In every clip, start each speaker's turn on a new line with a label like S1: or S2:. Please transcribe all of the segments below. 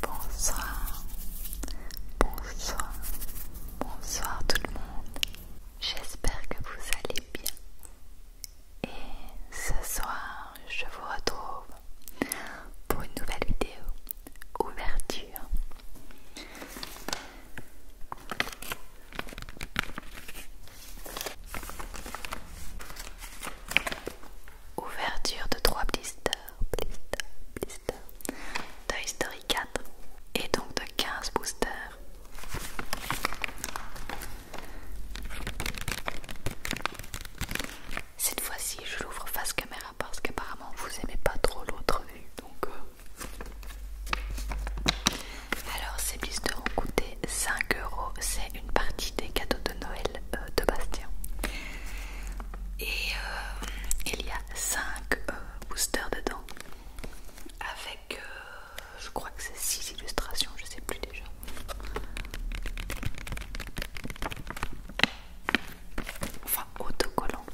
S1: Bonsoir, bonsoir, bonsoir tout le monde. J'espère que vous allez bien. Et ce soir, je vous retrouve pour une nouvelle vidéo ouverture. Ouverture de 3 blisters, blister blister de history 4 et donc de 15 boosters. Cette fois-ci, je l'ouvre face caméra parce qu'apparemment vous aimez pas trop l'autre vue. Donc, euh. alors ces blisters ont coûté 5 euros. C'est une partie des cadeaux de Noël euh, de Bastien. Et euh, il y a 5 euh, boosters dedans. Avec, je crois que c'est 6 illustrations, je sais plus déjà. Enfin, autocollant.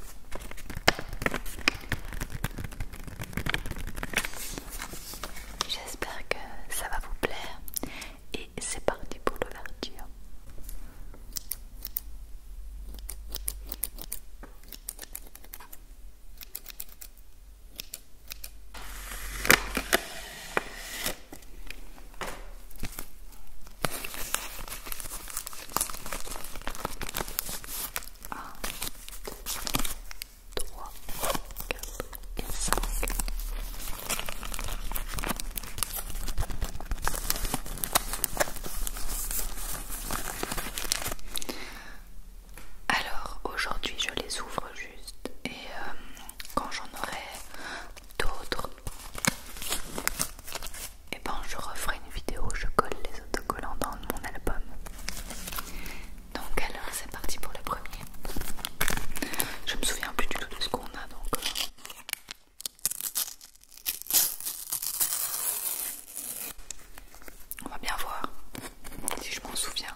S1: J'espère que ça va vous plaire. Et c'est parti pour l'ouverture. Un, alors aujourd'hui je les ouvre juste et euh, quand j'en aurai d'autres, et eh ben je referai une vidéo où je colle les autocollants dans mon album. Donc alors c'est parti pour le premier. Je me souviens plus du tout de ce qu'on a donc. Euh. On va bien voir si je m'en souviens.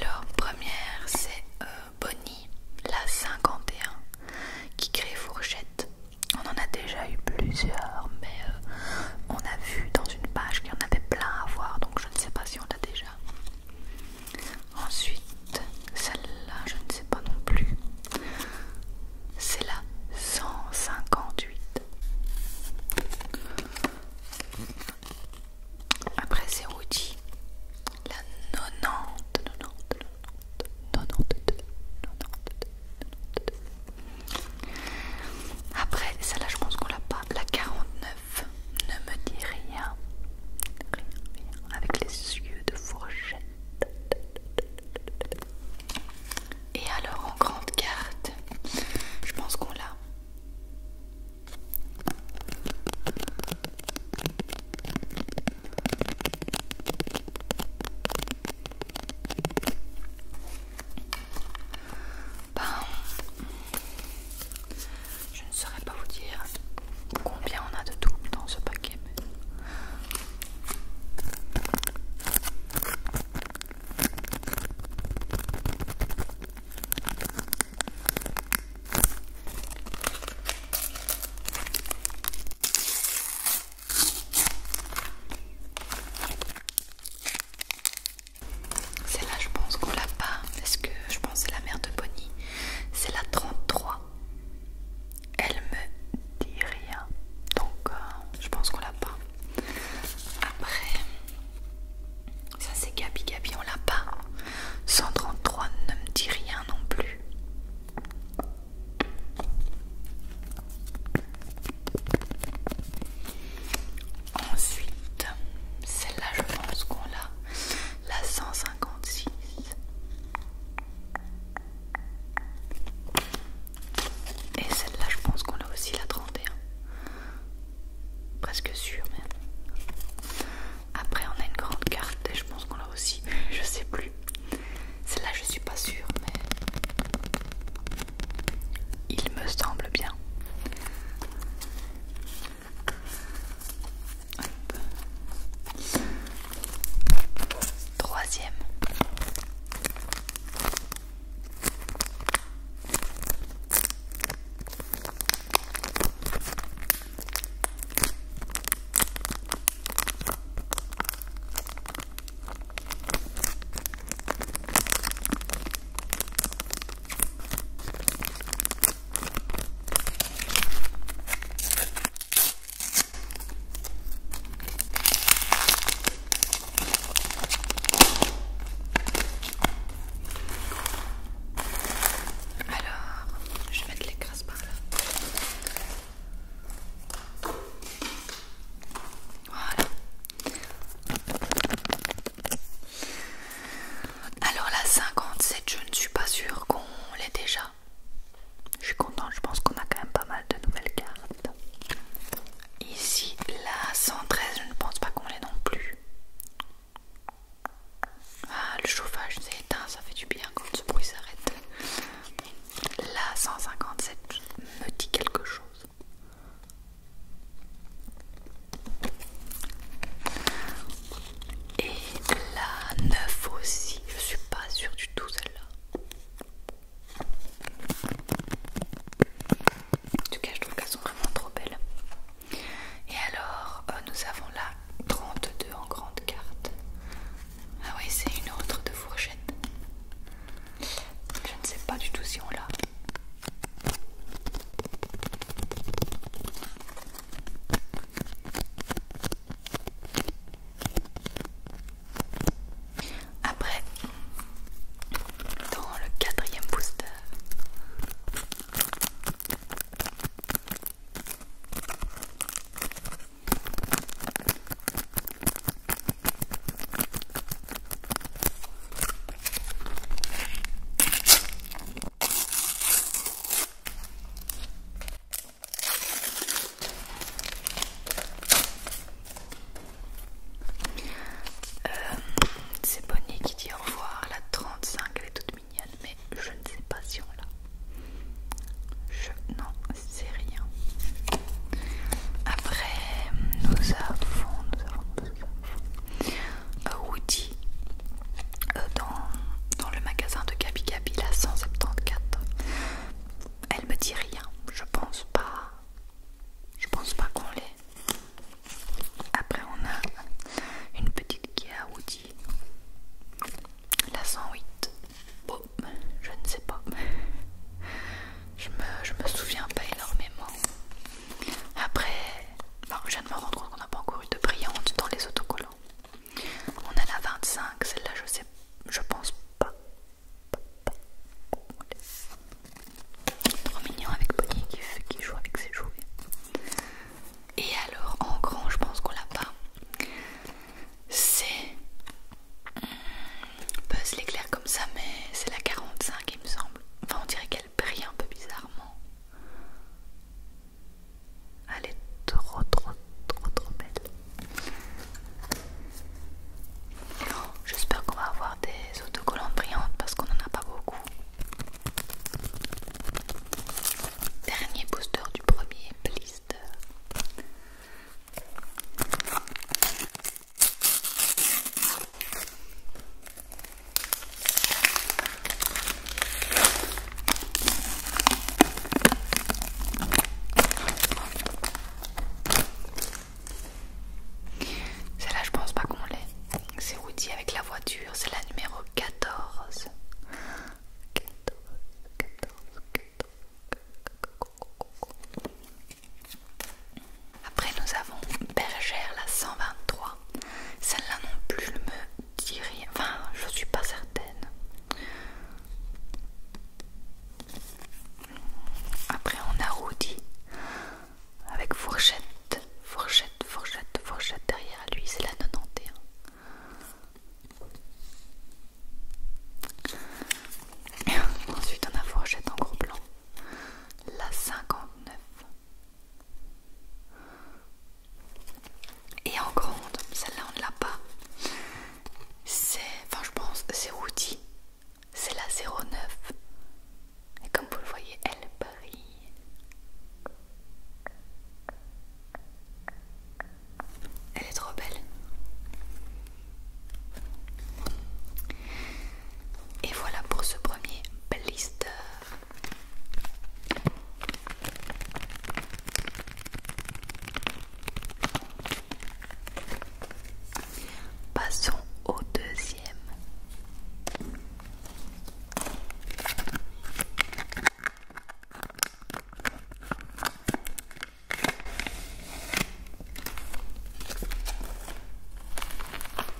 S1: Alors, première, c'est euh, Bonnie, la 51, qui crée Fourchette on en a déjà eu plusieurs, mais euh, on a vu dans une page qu'il y en avait plein à voir, donc je ne sais pas si on l'a déjà. Ensuite, celle-là, je ne sais pas non plus. C'est la 158. Après, c'est Woody. La 90, après, celle-là, je pense qu'on l'a pas. La 49, ne me dit rien. Rien, rien. Avec les yeux de fourchette. Et alors, en grande carte, je pense qu'on l'a. Ben, je ne saurais pas vous dire combien on a de tout dans ce paquet c'est là je pense qu'on l'a pas. parce ce que je pense c'est la mère de Bonnie C'est la 33. Elle me dit rien. Donc, euh, je pense qu'on l'a pas. Après, ça c'est Gabi Gabi, on l'a pas. 133 ne me dit rien non plus. Ensuite, celle-là, je pense qu'on l'a, la 156. Et celle-là, je pense qu'on a aussi la 31. Presque sûr, même. Après, on a une grande carte et je pense qu'on l'a aussi. Je sais plus. Celle-là, je suis pas sûre, mais il me semble bien. Troisième. Alors, je vais mettre les crasses par là. Voilà. Alors la 57, je ne suis pas sûre qu'on l'ait déjà. Je suis contente, je pense qu'on a quand même pas mal de nouvelles cartes. Ici, la 113, je ne pense pas qu'on l'ait non plus. Ah, le chauffage s'est éteint, ça fait du bien quand ce bruit s'arrête. La 157 me dit quelque chose. Et la 9 aussi, je suis pas sûre du tout celle-là. En tout cas, je trouve qu'elles sont vraiment trop belles. Et alors, euh, nous avons la 32 en grande carte. Ah oui, c'est une autre de fourchette. Je ne sais pas du tout si on l'a. Après, dans le quatrième booster, euh, c'est Bonnie qui dit au revoir, la 35, elle est toute mignonne, mais je ne sais pas si on l'a. Je n'en sais rien. Après, nous avons, nous avons, euh, Woody euh, dans, le magasin de Gabi Gabi, la 174. Elle me dit rien, je pense pas. Je pense pas qu'on l'ait. Après, on a une petite à Woody, la 108. je ne sais pas je me, me souviens pas énormément. Après, je viens de me rendre compte qu'on n'a pas encore eu de brillante dans les autocollants. On a la 25, celle-là je sais, je pense pas. Trop mignon avec Bonnie qui, qui joue avec ses jouets. Et alors en grand, je pense qu'on l'a pas. C'est hmm, Buzz l'éclair comme ça, mais c'est la 45 il me semble. Enfin, on dirait qu'elle brille un peu bizarrement. Elle est trop, trop, trop, trop belle. Oh, j'espère qu'on va avoir des autocollants brillantes parce qu'on n'en a pas beaucoup. Dernier booster du premier blister. Celle-là, je pense pas qu'on l'ait. C'est Woody avec la voiture, c'est la numéro 14. 14. Après nous avons Bergère la 123. Celle-là non plus je me dis rien. Enfin je suis pas certaine. Après on a Rudy avec fourchette, fourchette, fourchette, fourchette derrière lui, c'est la 91. Ensuite on a fourchette en gros blanc la 59. Et en grande, celle-là on ne l'a pas. C'est, enfin je pense, c'est Woody. C'est la 09. Et comme vous le voyez, elle brille. Elle est trop belle. Et voilà pour ce premier blister. Passons au deuxième.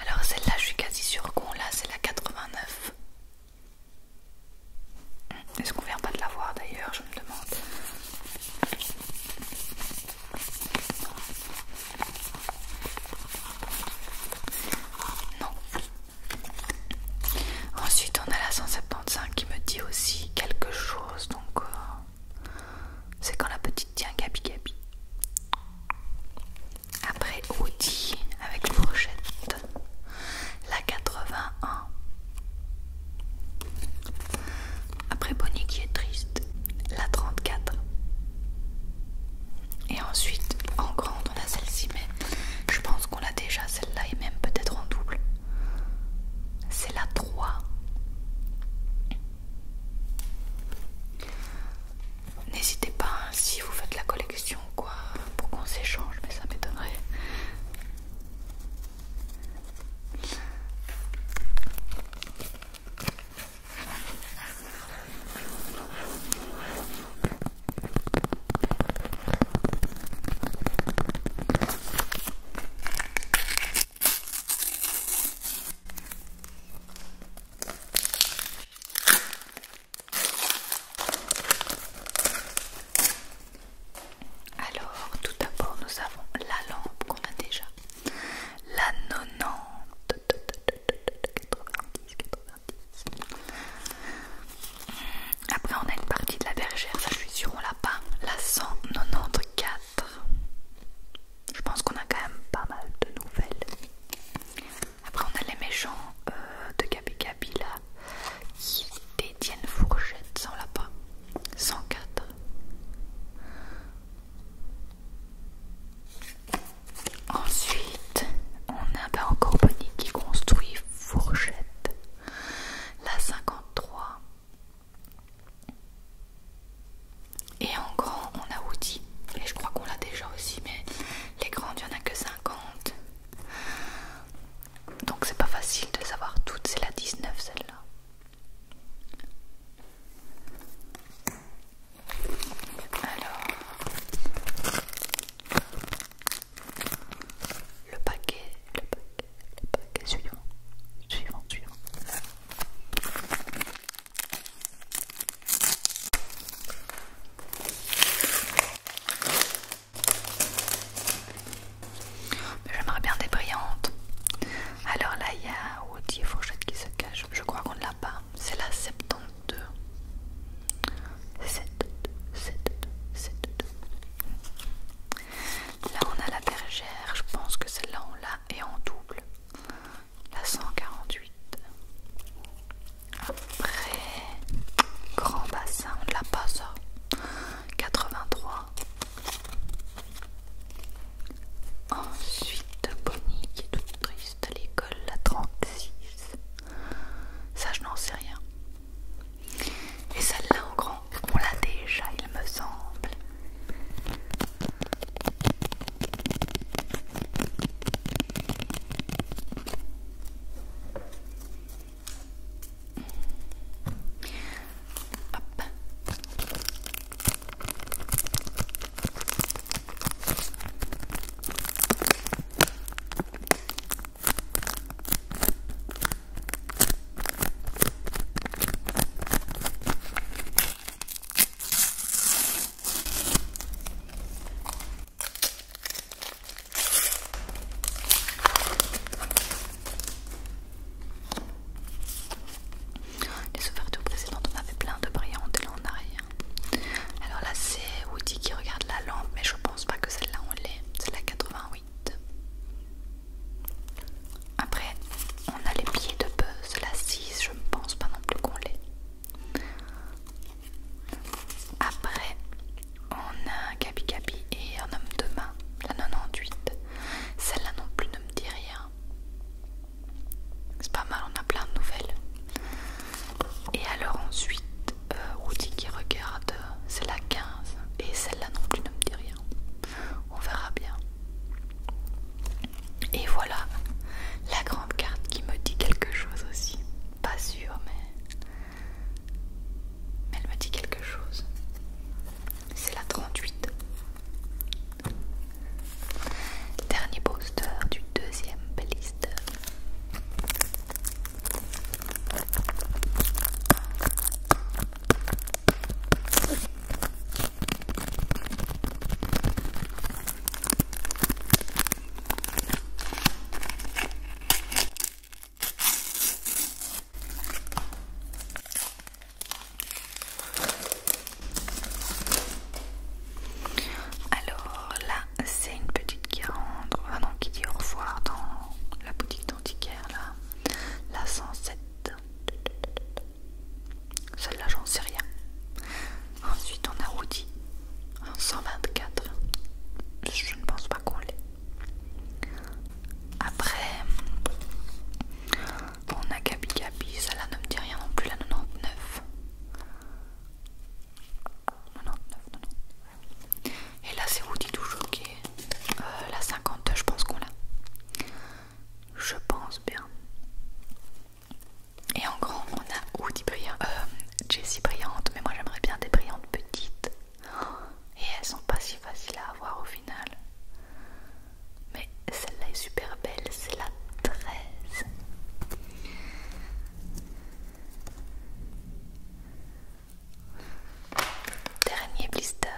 S1: Alors celle-là, je suis quasi sûre qu'on l'a, c'est la 89. Hmm, est-ce qu'on vient pas de la voir d'ailleurs, je me demande. Non. Ensuite, on a la 175 qui me dit aussi quelque chose, donc euh, c'est quand la petite tient Gabi Gabi. Après Audi avec brochettes, la 81. Après Bonnie qui est triste, la 34. Et ensuite, en grande, on a celle-ci, mais je pense qu'on l'a déjà, celle-là, et même peut-être en double. C'est la N'hésitez pas hein, si vous faites la collection quoi pour qu'on s'échange, mais ça m'étonnerait. Alors, tout d'abord, nous avons la lampe qu'on a déjà, la 90, 90, 90. Après, on a une partie de la bergère, ça je suis sûre, on l'a pas, la 194. Je pense qu'on a quand même pas mal de nouvelles. Après, on a les méchants euh, de Gabi Gabi là qui détiennent fourchette sans pas 104. Ensuite, on a ben, encore Bonnie qui construit fourchette. La 53. Et en grand, on a Woody. Et je crois qu'on l'a déjà aussi, mais les grandes, il n'y en a que 50. Donc c'est pas facile de savoir toutes. C'est la 19 celle-là. Alors, le paquet, le, le paquet suivant, suivant, suivant. J'aimerais bien des brillantes. Alors là, il y a Woody et Fourchette qui se cache. Je crois qu'on ne l'a pas. C'est la 72. 72, 72, 72. Là on a la bergère, je pense que celle-là on l'a et en double. La 148. Après, grand bassin, on l'a pas ça. 83. Ensuite, Bonnie qui est toute triste à l'école, la 36. Ça, je n'en sais rien. Et celle-là en grand on l'a déjà, il me semble. Les ouvertures précédentes, on avait plein de brillantes et là on rien. Alors là, c'est Woody qui regarde la lampe, mais je pense pas que celle-là on l'ait. C'est la 88. Après, on a les pieds de buzz, la 6, je ne pense pas non plus qu'on l'ait. Après, on a Gabi Gabi et un homme de main, la 98. Celle-là non plus ne me dit rien. C'est pas mal, on a plein de nouvelles. Et alors ensuite, euh, Woody qui regarde, c'est la 15. Et celle-là non plus ne me dit rien. On verra bien. Et voilà la grande carte qui me dit quelque chose aussi. Pas sûr, mais, elle me dit quelque chose. C'est la 38. Dernier poster du deuxième blister. Alors là, c'est une petite qui un va qui dit au revoir dans la boutique d'antiquaire là, la 107. Celle-là, j'en sais rien. Ensuite, on a Rudy en 124. Je ne pense pas qu'on l'ait. Après, on a Gabi Gabi. Celle-là ne me dit rien non plus, la 99. 99, Et là, c'est Woody toujours qui est euh, la 50 je pense qu'on l'a. Je pense bien. Et en grand, on a des brillantes, euh, Jessie Brillante, mais moi j'aimerais bien des brillantes petites. Et elles sont pas si faciles à avoir au final. Mais celle-là est super belle, c'est la 13. Dernier blister.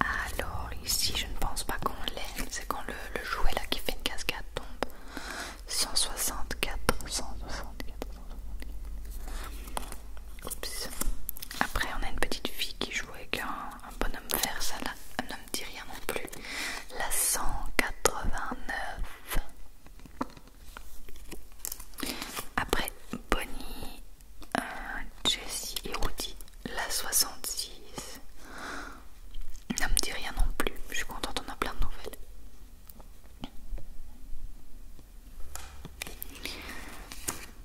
S1: Alors ici je ne pense pas qu'on l'aime, c'est quand le, jouet là qui fait une cascade tombe. 164, 164, 164. Après on a une petite fille qui joue avec un un bonhomme vert, ça là, ne me dit rien non plus. La 189. Après Bonnie, euh, Jessie et Rudy, la 66. Ne me dit rien non plus. Je suis contente, on a plein de nouvelles.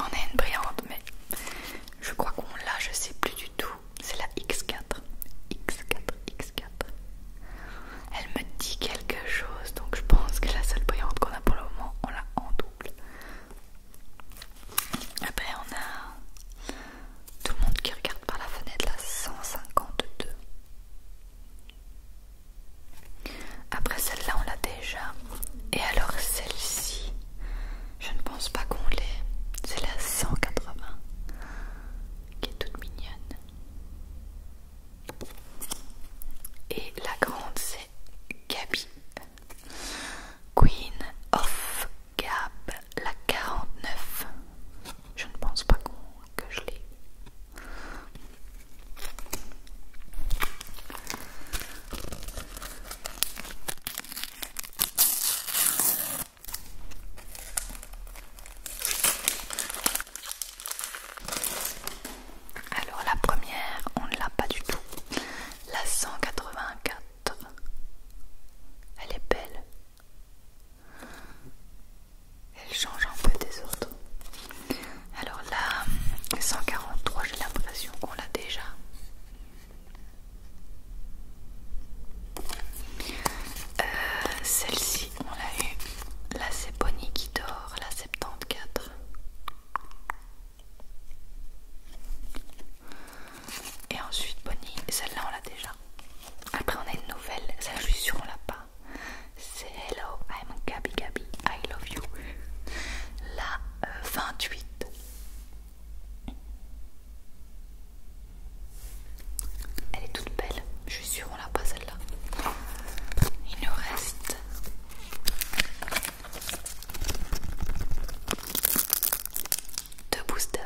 S1: On est une brillante, mais je crois qu'on l'a, je sais plus du tout. C'est la X4. X4, X4. Elle me dit quelque chose, donc je pense que la seule brillante qu'on a pour le moment, on l'a en double. Après, on a tout le monde qui regarde par la fenêtre, la 152. Après celle-là, on l'a déjà. Et alors celle-ci, je ne pense pas qu'on l'ait. C'est la 180 qui est toute mignonne. Et la grande, c'est Gabi. Queen of Gab, la 49. Je ne pense pas que je l'ai. Alors la première, on ne l'a pas du tout. La 184. Elle est belle. Elle change un peu des autres. Alors la 143, j'ai l'impression qu'on l'a déjà. Euh, celle-ci on l'a eu là c'est Bonnie qui dort, la 74 et ensuite Bonnie, celle-là on l'a déjà après on a une nouvelle, celle-là je suis sûre on l'a pas c'est Hello, I'm Gabi Gabi, I love you la 28 euh, elle est toute belle, je suis sûre on l'a pas celle-là. Il nous reste deux boosters.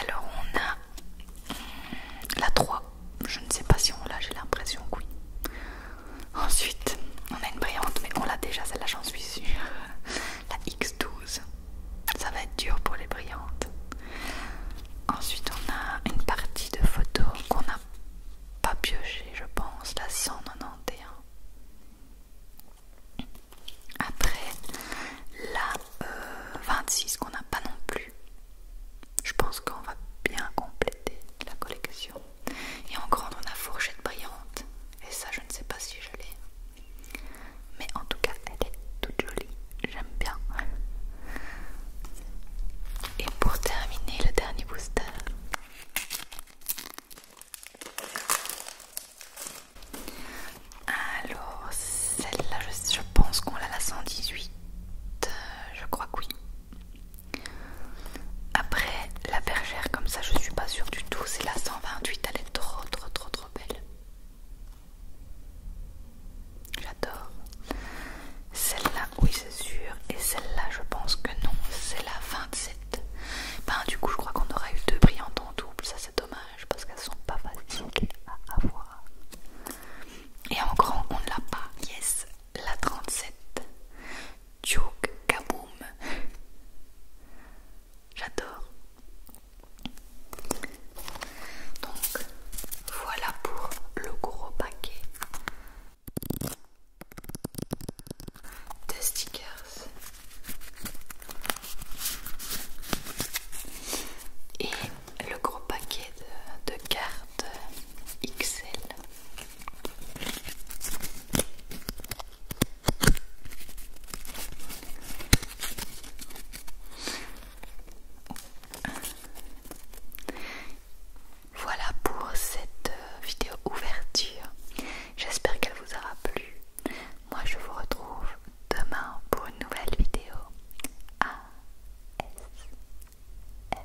S1: Alors on a hmm, la 3. Je ne sais pas si on l'a, j'ai l'impression que oui. Ensuite, on a une brillante, mais on l'a déjà, celle-là j'en suis sûre. La X12. Ça va être dur pour les brillantes. Ensuite, on a une partie de photos qu'on n'a pas pioché, je pense. La 191. Après, la 26 euh, qu'on n'a pas non plus. Je pense qu'on va bien compléter la collection. Et en grande, on a Fourchette Brillante. Et ça, je ne sais pas si je l'ai. Mais en tout cas, elle est toute jolie. J'aime bien. Et pour terminer, le dernier booster. Alors, celle-là, je, pense qu'on l'a la 118. Euh, je crois que oui. Après, la bergère, comme ça, je suis pas sûre du tout. C'est la 128. Elle est trop, trop, trop, trop belle. J'adore. Celle-là, oui, c'est sûr. Et celle-là, je pense que non. C'est la 27. Ben, du coup, je crois qu'on aurait eu deux brillantes en double. Ça, c'est dommage parce qu'elles sont pas faciles à avoir. Et en grand, on ne l'a pas. Yes, la 37. Joke, Kaboom. J'adore. Donc, voilà pour le gros paquet de stickers et le gros paquet de, cartes XL. Voilà pour cette euh, vidéo ouverture. J'espère qu'elle vous aura plu. Moi je vous retrouve demain pour une nouvelle vidéo A S M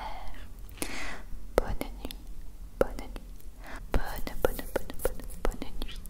S1: R Bonne nuit, bonne nuit, bonne, bonne, bonne, bonne, bonne nuit.